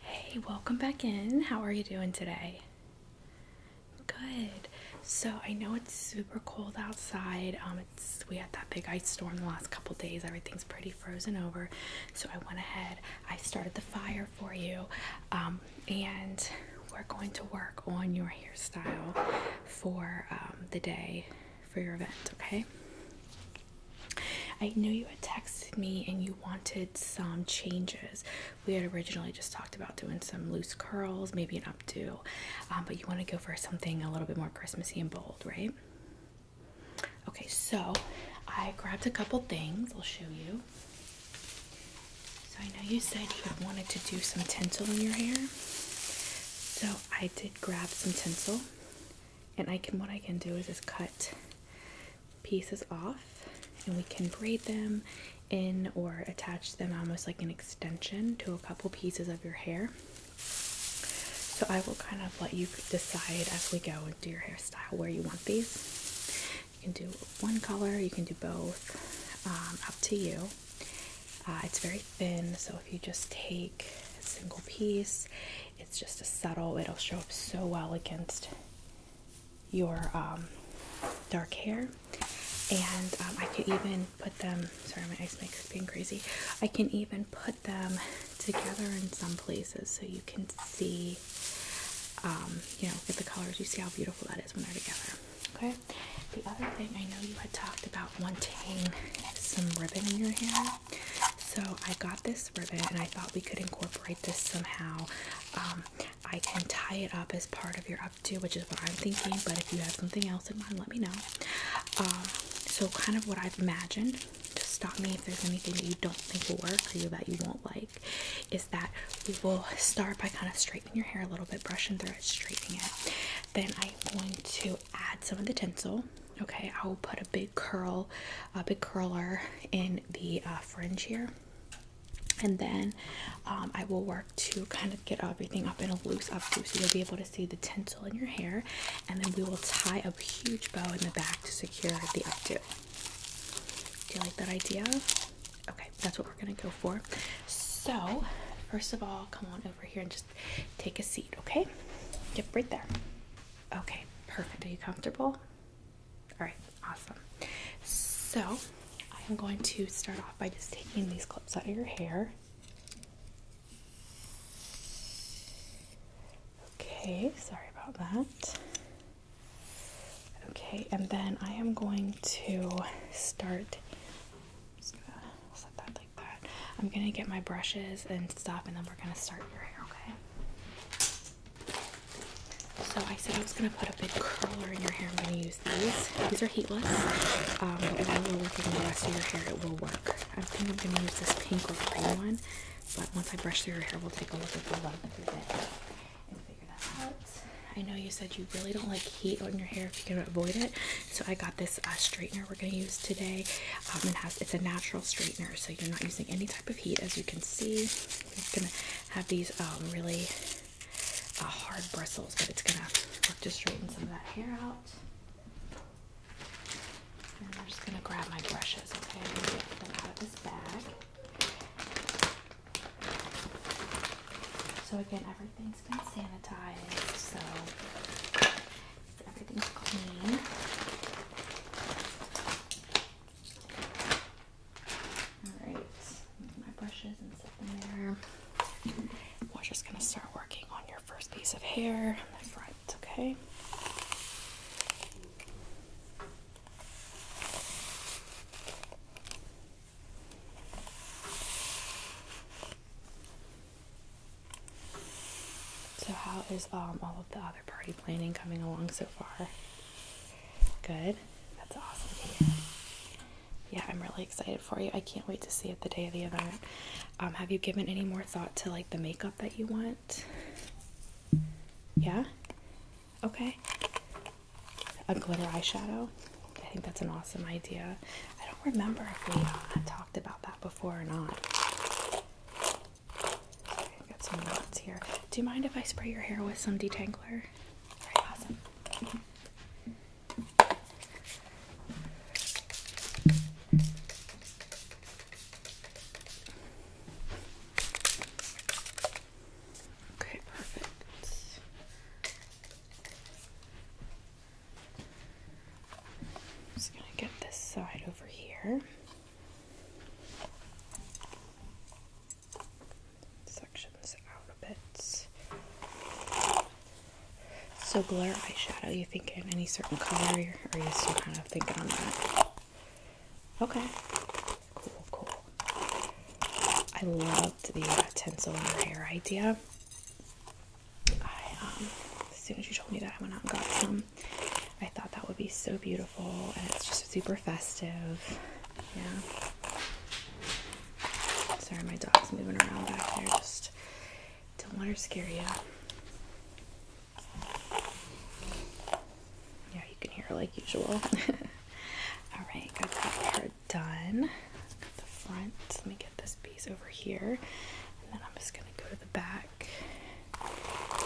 Hey, welcome back in. How are you doing today? Good. So I know it's super cold outside. Um, it's we had that big ice storm the last couple days. Everything's pretty frozen over. So I went ahead. I started the fire for you, um, and we're going to work on your hairstyle for um, the day for your event. Okay. I knew you had texted me and you wanted some changes. We had originally just talked about doing some loose curls, maybe an updo, um, but you want to go for something a little bit more Christmassy and bold, right? Okay, so I grabbed a couple things. I'll show you. So I know you said you wanted to do some tinsel in your hair. So I did grab some tinsel and I can what I can do is just cut pieces off and we can braid them in or attach them almost like an extension to a couple pieces of your hair. So I will kind of let you decide as we go and do your hairstyle where you want these. You can do one color, you can do both, um, up to you. Uh, it's very thin, so if you just take a single piece, it's just a subtle, it'll show up so well against your um, dark hair. And um, I can even put them, sorry, my ice maker's being crazy. I can even put them together in some places so you can see, um, you know, get the colors. You see how beautiful that is when they're together. Okay. The other thing I know you had talked about wanting some ribbon in your hair. So I got this ribbon and I thought we could incorporate this somehow. Um, I can tie it up as part of your updo, which is what I'm thinking, but if you have something else in mind, let me know. Um, so kind of what I've imagined, just stop me if there's anything that you don't think will work or that you won't like, is that we will start by kind of straightening your hair a little bit, brushing through it, straightening it. Then I'm going to add some of the tinsel. Okay, I will put a big curl a big curler in the uh, fringe here and then um, I will work to kind of get everything up in a loose updo so you'll be able to see the tinsel in your hair and then we will tie a huge bow in the back to secure the updo. Do you like that idea? Okay, that's what we're gonna go for. So first of all, come on over here and just take a seat, okay? Get right there. Okay, perfect. Are you comfortable? All right, awesome. So I am going to start off by just taking these clips out of your hair. Okay, sorry about that. Okay, and then I am going to start. Just gonna set that like that. I'm gonna get my brushes and stuff, and then we're gonna start your hair. Okay. So I said I was gonna put a big curler in your hair. I'm gonna use these. These are heatless, um, but it will work on the rest of your hair. It will work. I think I'm gonna use this pink or green one, but once I brush through your hair, we'll take a look at the length of your it and figure that out. I know you said you really don't like heat on your hair if you can avoid it, so I got this uh, straightener we're gonna use today. Um, it has it's a natural straightener, so you're not using any type of heat, as you can see. It's gonna have these um, really uh, hard bristles, but it's gonna work to straighten some of that hair out. And I'm just gonna grab my brushes, okay? get them out of this bag. So again, everything's been sanitized, so everything's clean. Alright, my brushes and set there. We're just gonna start working on your first piece of hair on the front, okay? So, how is um, all of the other party planning coming along so far? Good. That's awesome Yeah, I'm really excited for you. I can't wait to see it the day of the event. Um, have you given any more thought to like the makeup that you want? Yeah? Okay. A glitter eyeshadow. I think that's an awesome idea. I don't remember if we talked about that before or not. Do you mind if I spray your hair with some detangler? Right, awesome. Okay, perfect. I'm going to get this side over here. Section out a bit. So glare eyeshadow, you thinking any certain color or are you still kind of thinking on that? Okay. Cool, cool. I loved the uh, tinsel in her hair idea. I um, as soon as you told me that I went out and got some I thought that would be so beautiful, and it's just super festive. Yeah. Sorry, my dog's moving around back there. Just don't let her scare you. Yeah, you can hear her like usual. All right, I've got her done. Got the front. Let me get this piece over here, and then I'm just gonna go to the back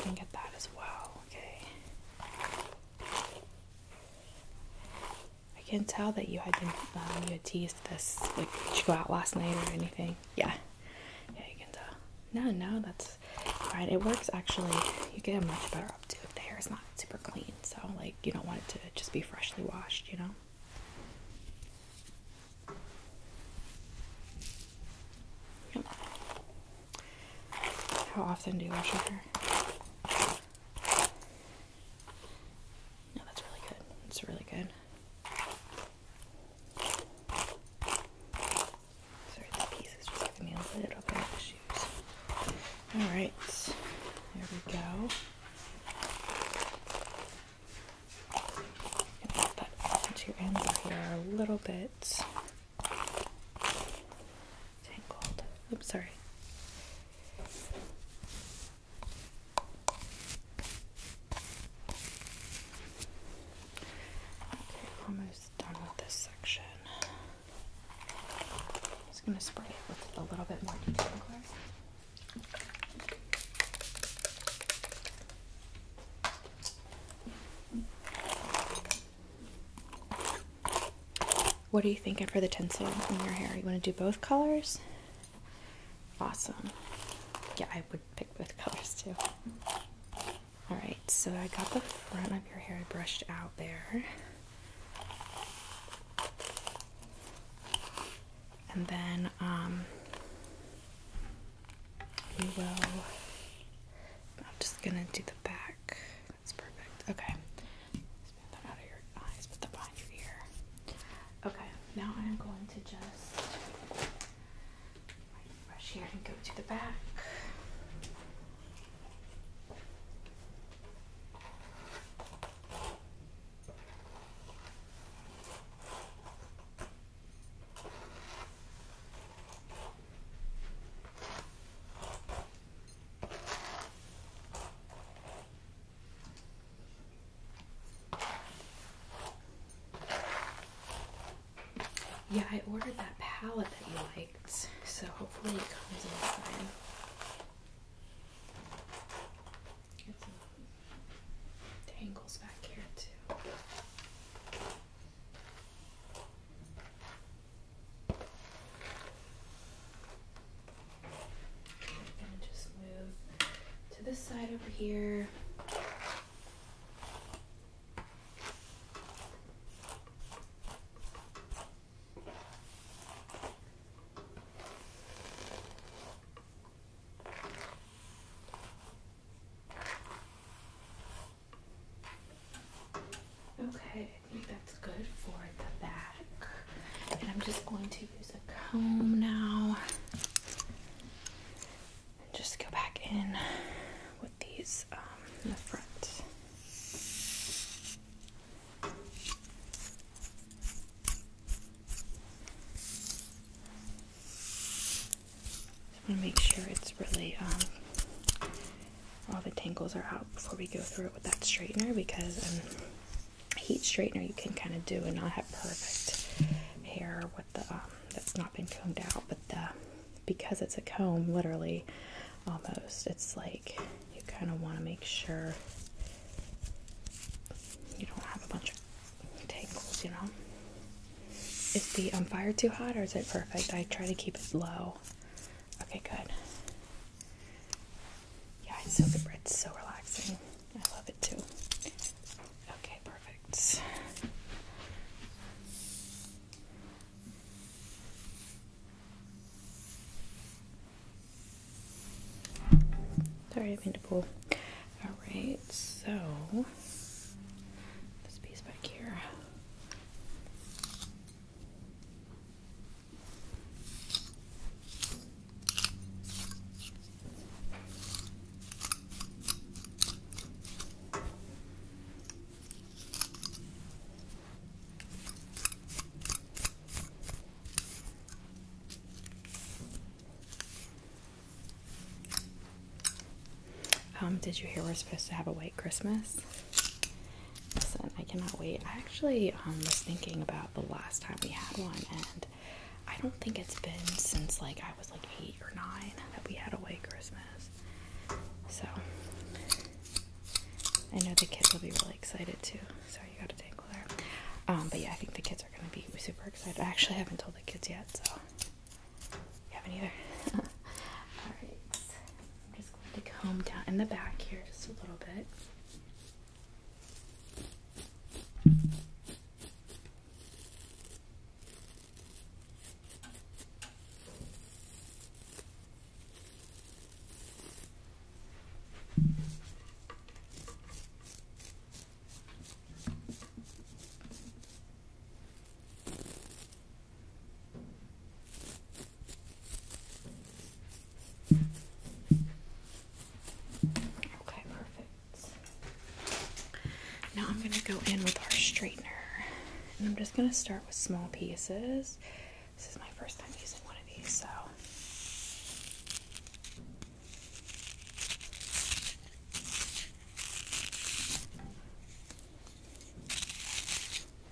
and get that as well. Okay. I can tell that you had been um, you had teased this. Like, you go out last night or anything? Yeah, yeah, you can tell. No, no, that's fine. It works actually. You get a much better updo if the hair is not super clean. So, like, you don't want it to just be freshly washed, you know. How often do you wash your hair? No, that's really good. It's really good. Alright, there we go. Gonna put that into your ends here a little bit. Tangled. Oops, sorry. Okay, almost done with this section. I'm just going to spray it with a little bit more detangler. What are you thinking for the tinsel in your hair? You want to do both colors? Awesome. Yeah, I would pick both colors too. Alright, so I got the front of your hair brushed out there. And then um, we will, I'm just going to do the back. That's perfect. Okay. out of your eyes, put that behind your ear. Okay, now I'm going to just brush here and go to the back. Yeah, I ordered that palette that you liked, so hopefully it comes in time. tangles back here too just move to this side over here. Okay, I think that's good for the back. And I'm just going to use a comb now. And just go back in with these um, in the front. I want to make sure it's really, um, all the tangles are out before we go through it with that straightener because a um, heat straightener you can kind of do and not have perfect hair with the, um, that's not been combed out, but the, because it's a comb, literally, almost, it's like you kind of want to make sure you don't have a bunch of tangles, you know? Is the um, fire too hot or is it perfect? I try to keep it low. Okay, good. Yeah, it's so good. It's so relaxing. I love it too. Okay, perfect. Sorry, I mean to pull. Alright, so this piece back here. Um, did you hear we're supposed to have a white Christmas? Listen, I cannot wait. I actually um, was thinking about the last time we had one, and I don't think it's been since like I was like eight or nine that we had a white Christmas. So I know the kids will be really excited too. Sorry, you got a tangle there. Um, but yeah, I think the kids are gonna be super excited. I actually haven't told the kids yet, so you haven't either. All just comb down in the back here just a little bit. Okay, perfect. Now I'm going to go in with our straightener. And I'm just going to start with small pieces. This is my first time using one of these, so.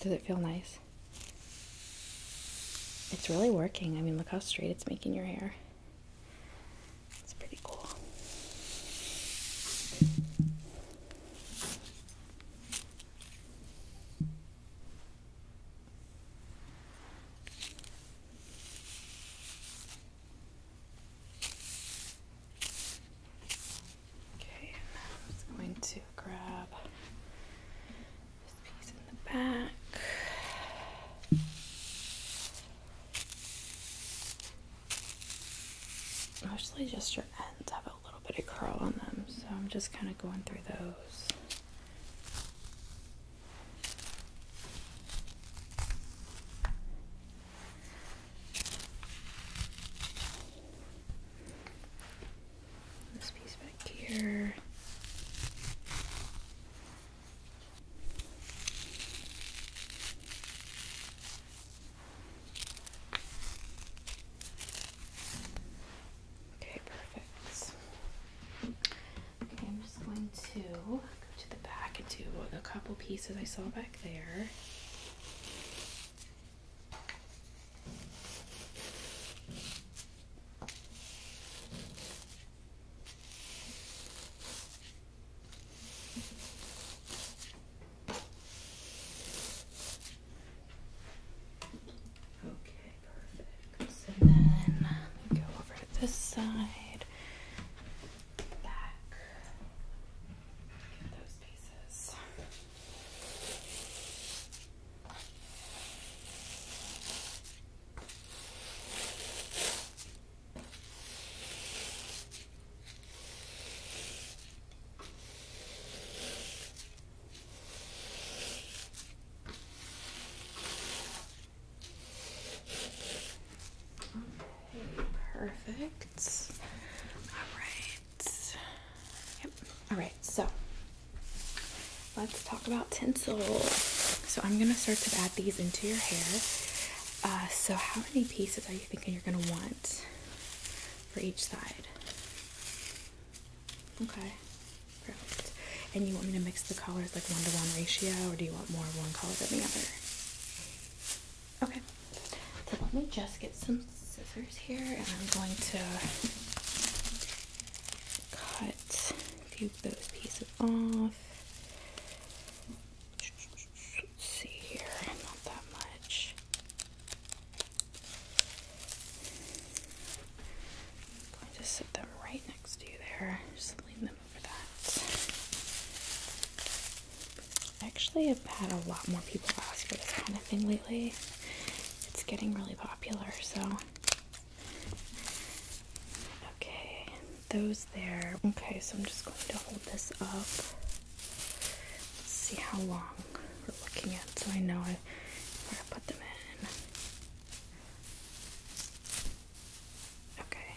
Does it feel nice? It's really working. I mean, look how straight it's making your hair. It's pretty cool. Okay, I'm going to grab this piece in the back. Mostly just your ends have a little bit of curl on them, so I'm just kind of going through those. This piece back here. Okay, perfect. Okay, I'm just going to go to the back and do a couple pieces I saw back there. Okay, perfect. So then go over to this side, back, get those pieces. Okay, perfect. All right. Yep. All right. So let's talk about tinsel. So I'm gonna start to add these into your hair. Uh, so how many pieces are you thinking you're gonna want for each side? Okay, perfect. And you want me to mix the colors like one to one ratio, or do you want more of one color than the other? Okay, so let me just get some scissors here, and I'm going to cut a few of those pieces off see here, not that much. going to sit them right next to you there. Just lean them over that. Actually, I've had a lot more people ask for this kind of thing lately. It's getting really popular, so Okay, those there. Okay, so I'm just going to hold this up. Let's see how long we're looking at so I know I, put them in. Okay.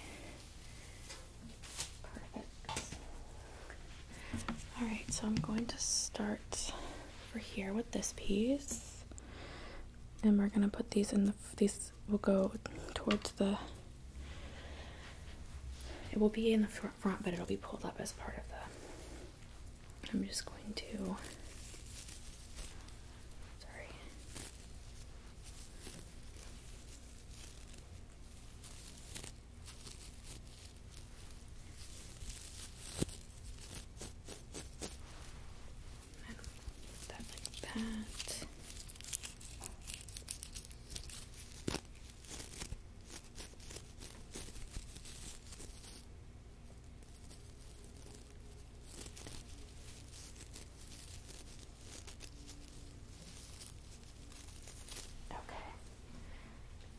Perfect. Alright, so I'm going to start over here with this piece. And we're gonna put these in the these this will go towards the it will be in the front, front but it'll be pulled up as part of the I'm just going to sorry I not that like that. Okay,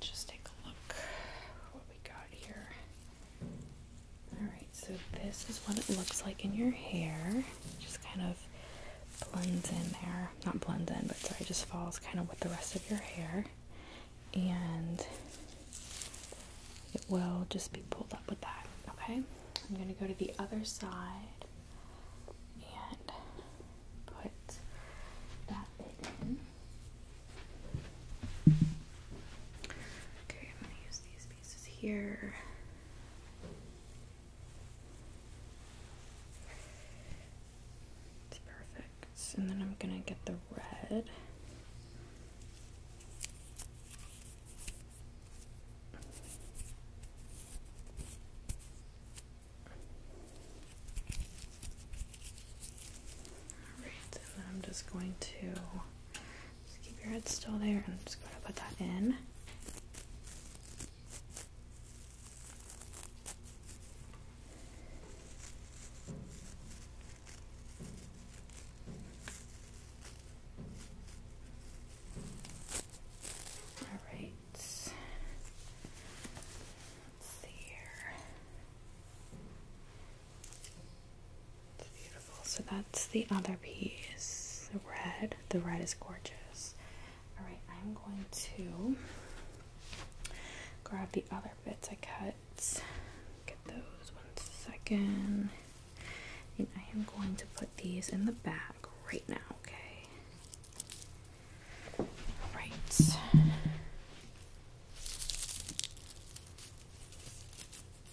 just take a look what we got here. Alright, so this is what it looks like in your hair. Just kind of blends in there. Not blends in, but sorry, just falls kind of with the rest of your hair. And it will just be pulled up with that. Okay? I'm going to go to the other side and put that in. Okay, I'm going to use these pieces here. It's perfect. And then I'm going to get the red. Alright, and I'm just going to just keep your head still there. I'm just going to put that in. All right. Let's see here beautiful. So that's the other piece. The red. The red is gorgeous. Alright, I'm going to grab the other bits I cut. Get those one second. And I am going to put these in the bag right now, okay? Alright.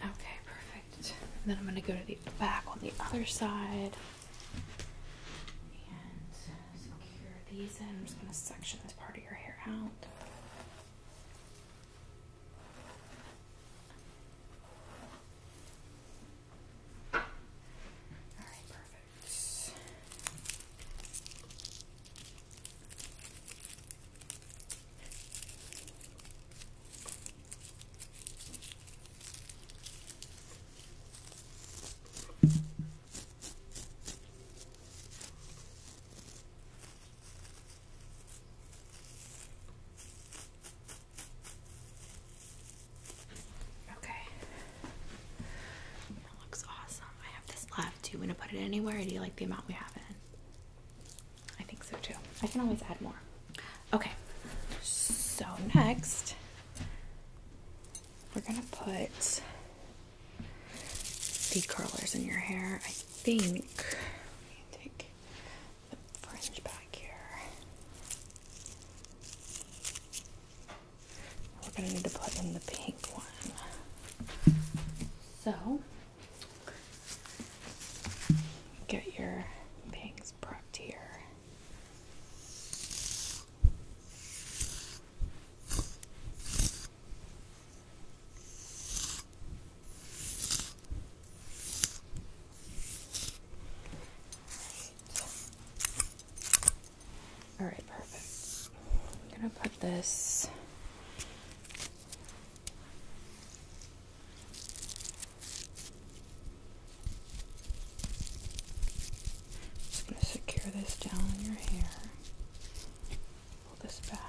Okay, perfect. And then I'm going to go to the back on the other side and secure these in. I'm just going to section this part of your hair out. Alright, perfect. Okay. That looks awesome. I have this left. Do you want to put it anywhere do you like the amount we have in? I think so too. I can always add more. Okay, so next we're gonna put the curlers in your hair. I think take the fringe back here. We're gonna need to put in the pink one. So Get your bangs propped here. All right, perfect. I'm gonna put this secure this down in your hair. Pull this back.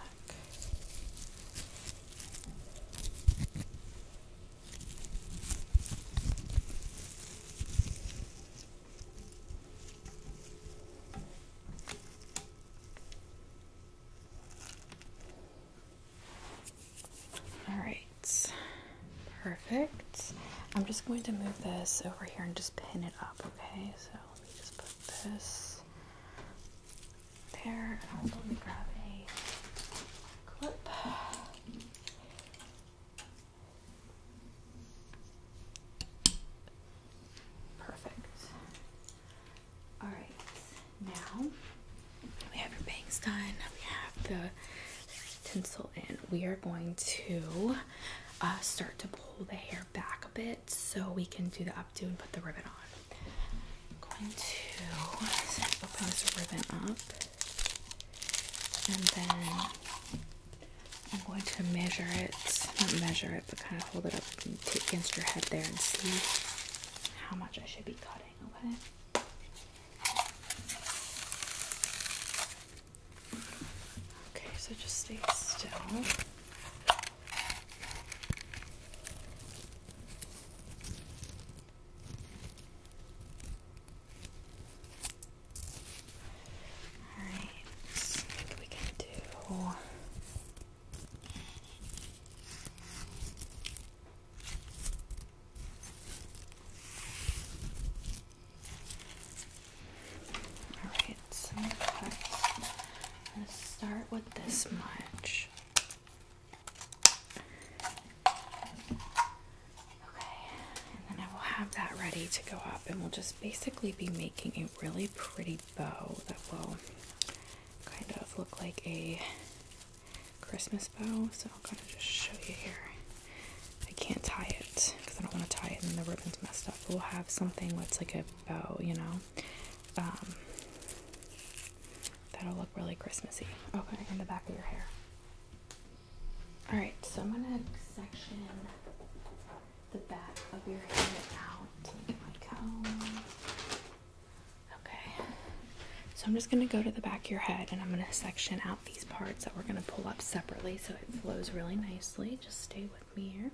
All right, perfect. I'm just going to move this over here and just pin it up, okay? So let me just put this there. Also, let me grab a clip. Perfect. All right, now we have your bangs done. We have the tinsel in. We are going to uh, start to pull the hair back a bit so we can do the updo and put the ribbon on. I'm going to open this ribbon up and then I'm going to measure it, not measure it, but kind of hold it up against your head there and see how much I should be cutting okay? Okay, so just stay still. Alright, so we do Alright, some cuts. Let's start with this much. Okay, and then I will have that ready to go up, and we'll just basically be making a really pretty bow that will kind of look like a Christmas bow, so I'll kind of just show you here. I can't tie it because I don't want to tie it and the ribbon's messed up. We'll have something that's like a bow, you know. Um, that'll look really Christmassy. Okay, in the back of your hair. Alright, so I'm gonna section the back of your hair out. Get my comb. Okay. So I'm just going to go to the back of your head and I'm going to section out these parts that we're going to pull up separately so it flows really nicely. Just stay with me here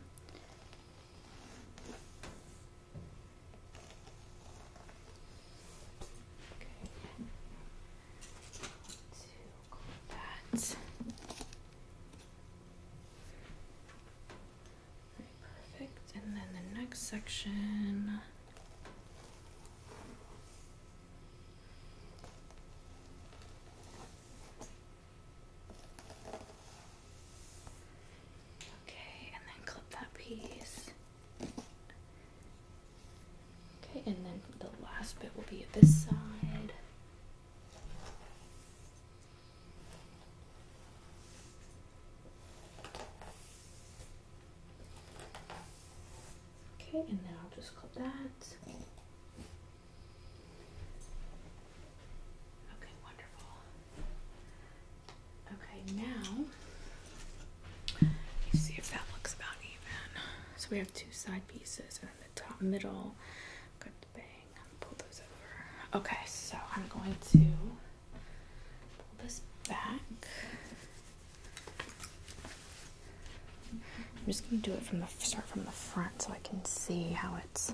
perfect. And then the next section. Okay, and then clip that piece. Okay, and then the last bit will be at this side. Okay, and then I'll just clip that. Okay, wonderful. Okay, now you see if that looks about even. So we have two side pieces and then the top middle. Good bang. Pull those over. Okay, so I'm going to pull this back. I'm just going to do it from the start from the front so I can see how it's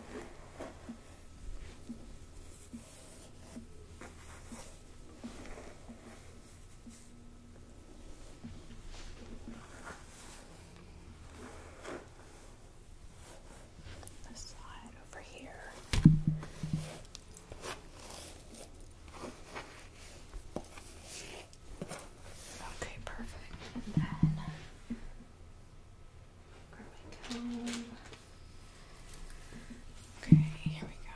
the side over here. Okay, perfect. And then grab my comb. Okay, here we go.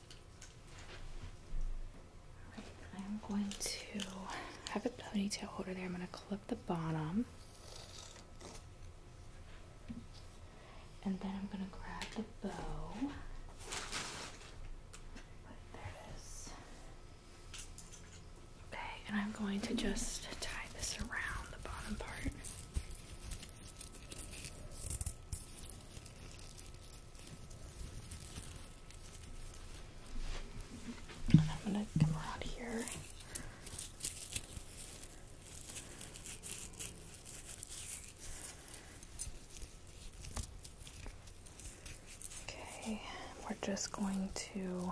I'm going to have a ponytail holder there. I'm going to clip the bottom. And then I'm going to grab the bow. But there it is. Okay, and I'm going to just tie this around the bottom part. I'm gonna come around here. Okay, we're just going to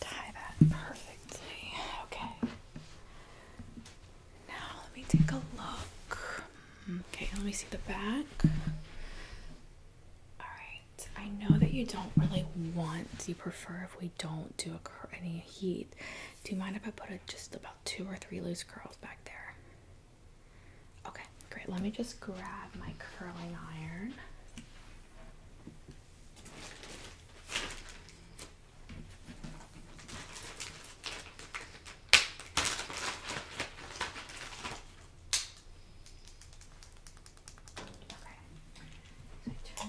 Tie that perfectly. Okay. Now let me take a look. Okay, let me see the back. Alright, I know that you don't really want, you prefer if we don't do a, any heat. Do you mind if I put just about two or three loose curls back there? Okay, great. Let me just grab my curling iron. Okay, so I turn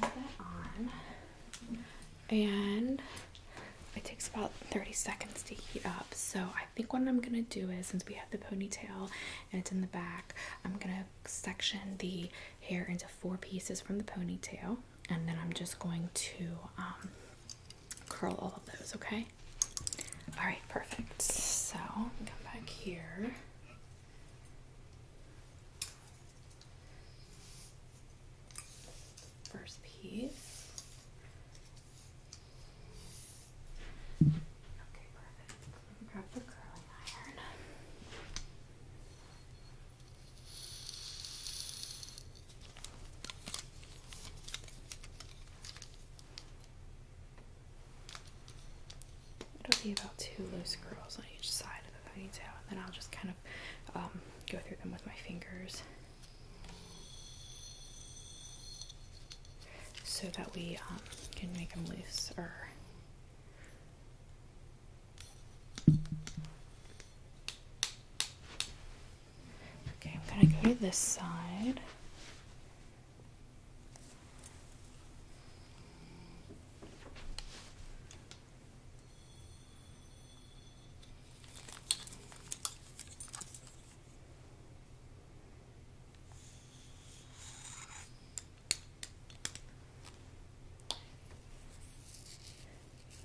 that on, and it takes about 30 seconds to heat up. So I think what I'm gonna do is, since we have the ponytail and it's in the back, I'm gonna section the hair into four pieces from the ponytail, and then I'm just going to um, curl all of those, okay? All right, perfect. So, come back here. First piece. Okay, perfect. grab the curling iron. It'll be about two loose curls on each side of the ponytail, and then I'll just kind of um, go through them with my fingers so that we um, can make them loose or Okay, I'm going to go to this side.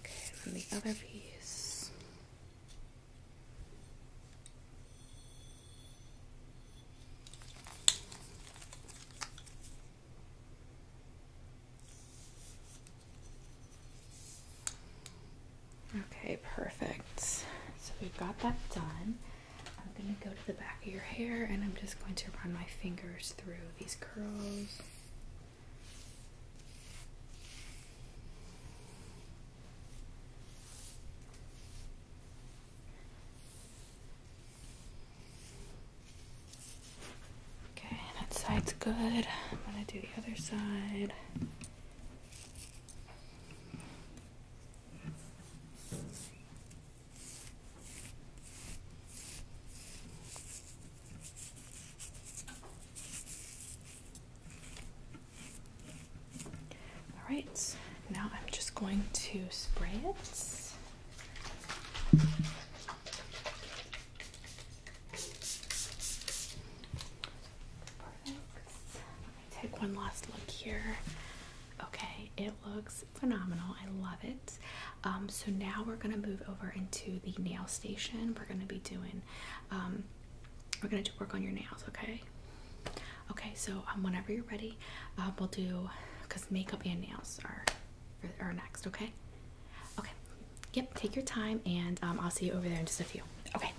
Okay, and the other piece. Okay, perfect. So we've got that done. I'm going to go to the back of your hair and I'm just going to run my fingers through these curls. Okay, that side's good. I'm going to do the other side. All right, now I'm just going to spray it. Perfect. Take one last look here. Okay, it looks phenomenal. I love it. Um, so now we're gonna move over into the nail station. We're gonna be doing, um, we're gonna work on your nails. Okay. Okay. So um, whenever you're ready, we'll do because makeup and nails are are next. Okay. Okay. Yep. Take your time, and I'll see you over there in just a few. Okay.